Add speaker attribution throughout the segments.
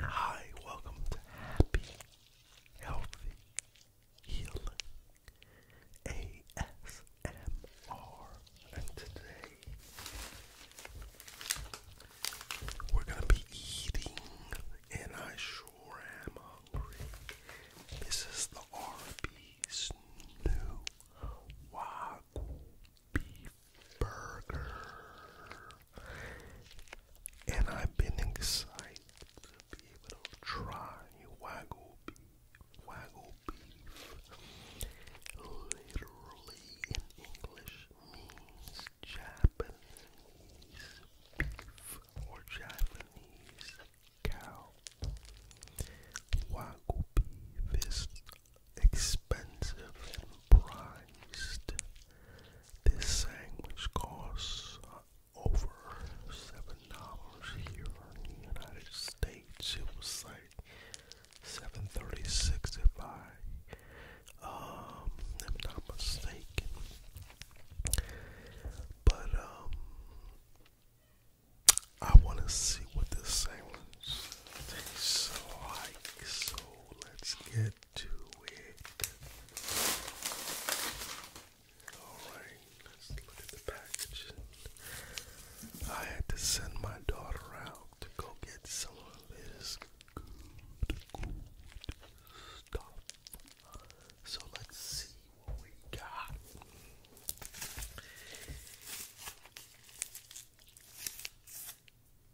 Speaker 1: Hi, welcome to Happy, Healthy, Healing ASMR. And today we're going to be eating, and I sure am hungry. This is the Arby's new Wagyu beef burger. And I've been excited to be able to try wagyu beef, Literally in English means Japanese beef or Japanese cow. Wagyu beef expensive and priced. This sandwich costs uh, over seven dollars here in the United States. It was like seven thirty-six, if I um, am not mistaken. But um, I want to see what this sandwich tastes like. So let's get to it. Alright, let's look at the packaging. I had to send my daughter out to go get some of this good stuff. So let's see what we got.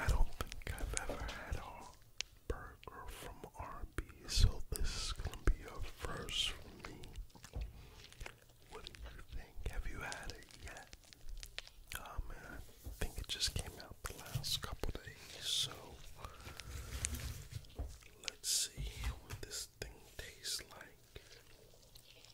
Speaker 1: I don't think I've ever had a burger from Arby's, so this is gonna be a first for me. What do you think? Have you had it yet? Oh man, I think it just came out the last couple days, so let's see what this thing tastes like.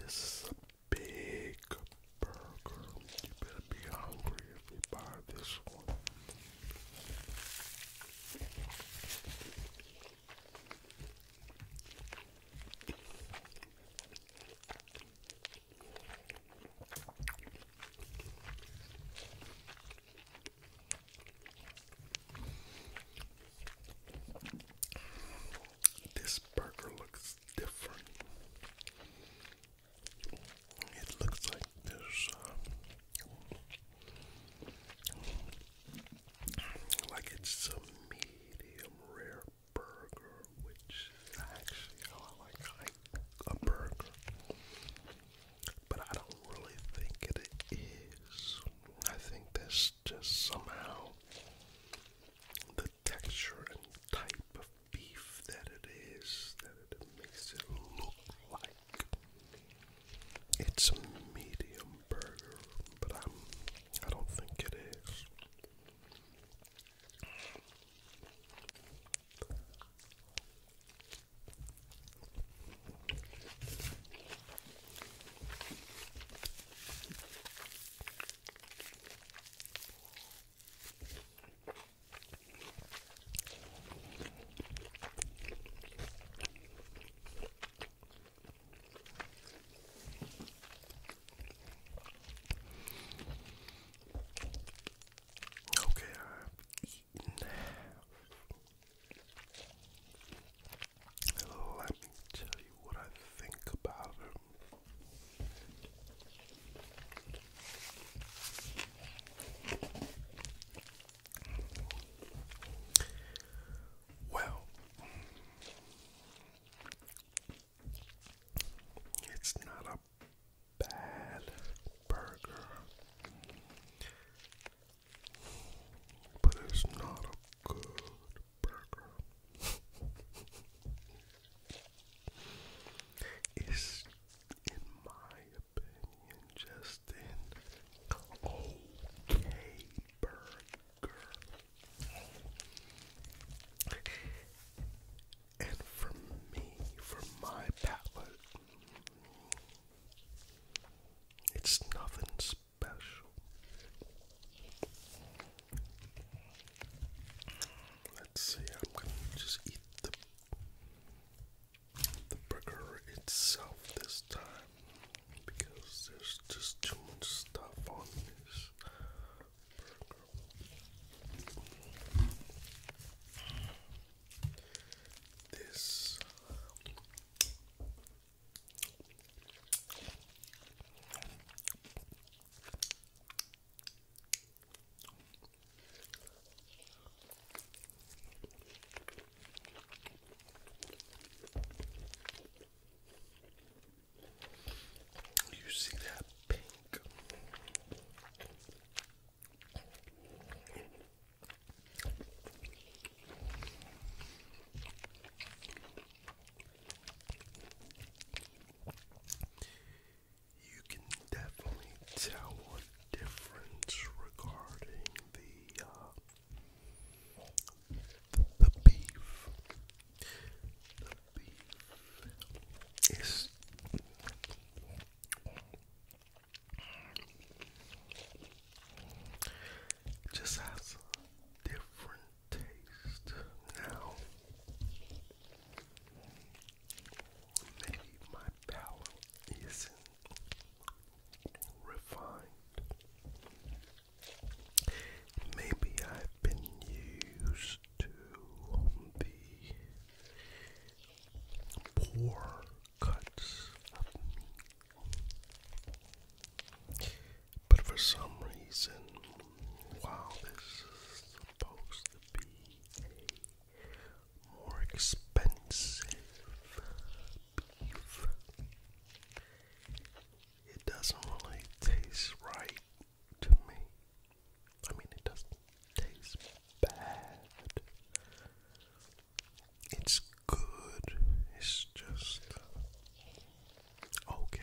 Speaker 1: This is a big burger. You better be hungry if you buy this one. This burger looks different. It looks like there's uh, like it's a medium rare burger, which is actually how I like, a burger, but I don't really think it is. I think that's just somehow the texture and type of beef that it is that it makes it look like it's a medium burger, but I'm I don't think it is. Okay, I've eaten Let me tell you what I think about it. Well, it's not a bad burger, but it's not a good burger. It's in my opinion, Justin. OK Burger. And for me, for my palate, it's nothing special. Let's see, I'm gonna just eat the the burger itself this time because there's just too much stuff on this burger. This you see that pink? You can definitely tell what difference regarding the uh, the beef. The beef is just has different taste now. Maybe my palate isn't refined. Maybe I've been used to the poor cuts of meat. But for some reason, while this is supposed to be more expensive beef. It doesn't really taste right to me. I mean, it doesn't taste bad. It's good. It's just okay.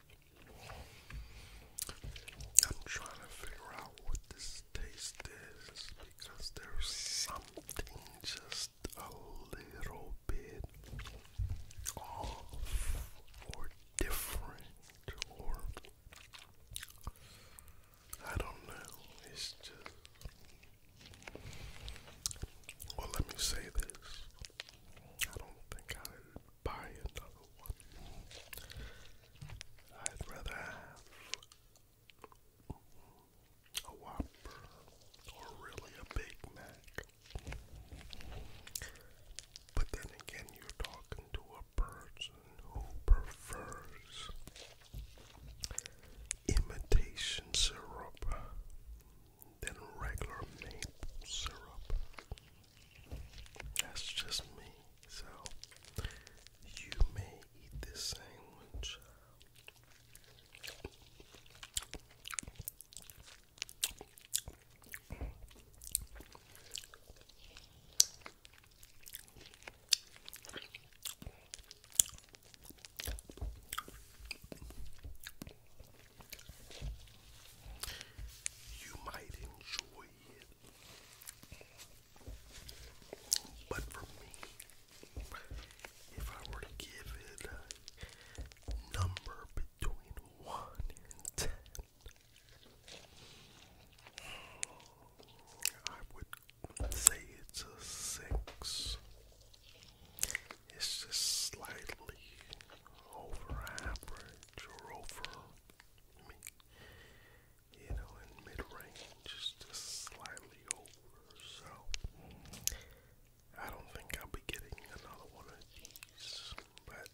Speaker 1: I'm trying to figure out what this taste is because there's something just a little bit off or different or I don't know. It's just well let me say this. I don't think I'd buy another one. I'd rather have a Whopper or really a Big Mac. But then again, you're talking to a person who prefers imitation syrup than regular maple syrup. That's just me. So you may eat this sandwich. You might enjoy it. But for me, if I were to give it a number between 1 and 10, I would say it's a 6. It's just slightly over average or over, I you know, in mid range, just slightly over. So, I don't think I'll be getting another one of these, but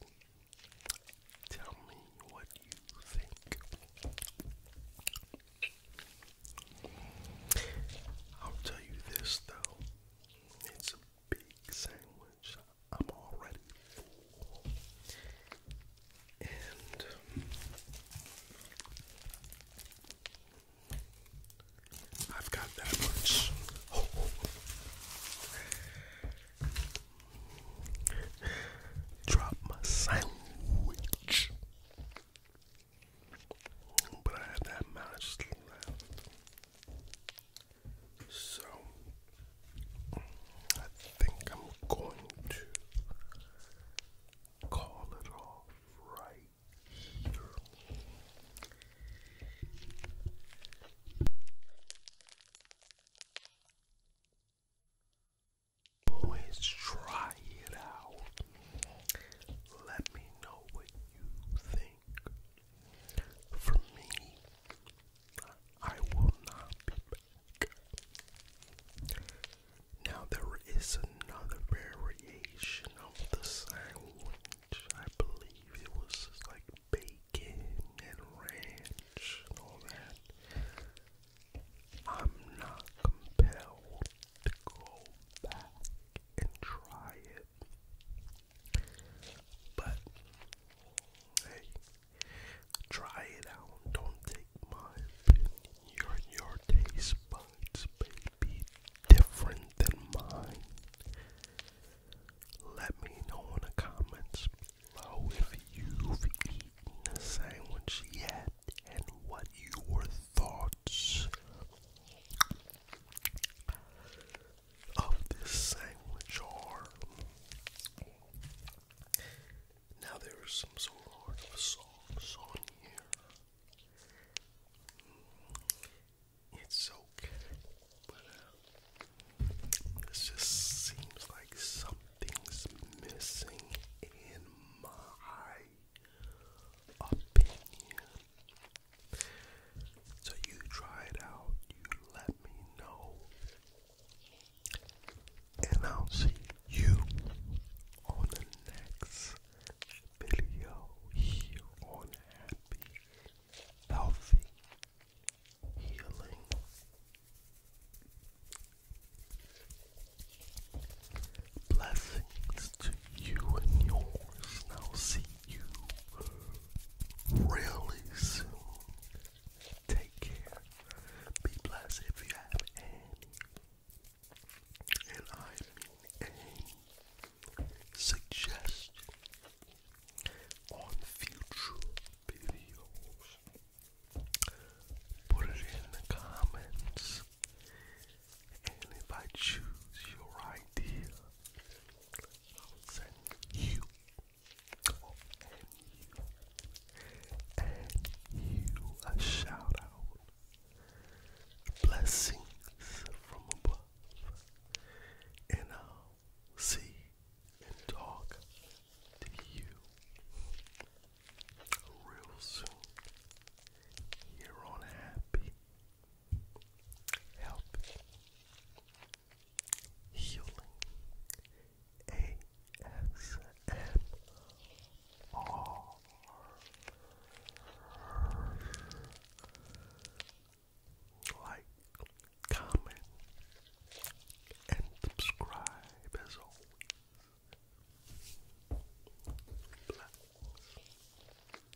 Speaker 1: tell me what you think. I'll tell you this though big sandwich. I'm already full. And I've got that much. Drop my sandwich. But I had that much left. So I think I'm going to call it off right here. Always try it out. Let me know what you think. For me, I will not be back. Now, there is another variation of the sandwich. I believe it was like bacon and ranch and I'm not compelled to go back and try it. But hey, try it out. Don't take my opinion. Your your taste buds may be different than mine. Let me know in the comments below if you've eaten a sandwich yet and what your thoughts of this sandwich are. Now there is some sort of sauce on here. Mm, it's okay, but uh, just seems like something's missing in my opinion. So you try it out, you let me know, and I'll see you on the next video here on Happy Healthy Healing. Blessings to you and yours. Now see you really soon. Take care. Be blessed if you have any, and I mean any suggestion on future videos. Put it in the comments and if I choose your idea, I'll send you, and you, and you a shout out. Blessings from above. And I'll see and talk to you real soon. Here on Happy help, healing, ASMR. Like, comment, and subscribe as always. Bless.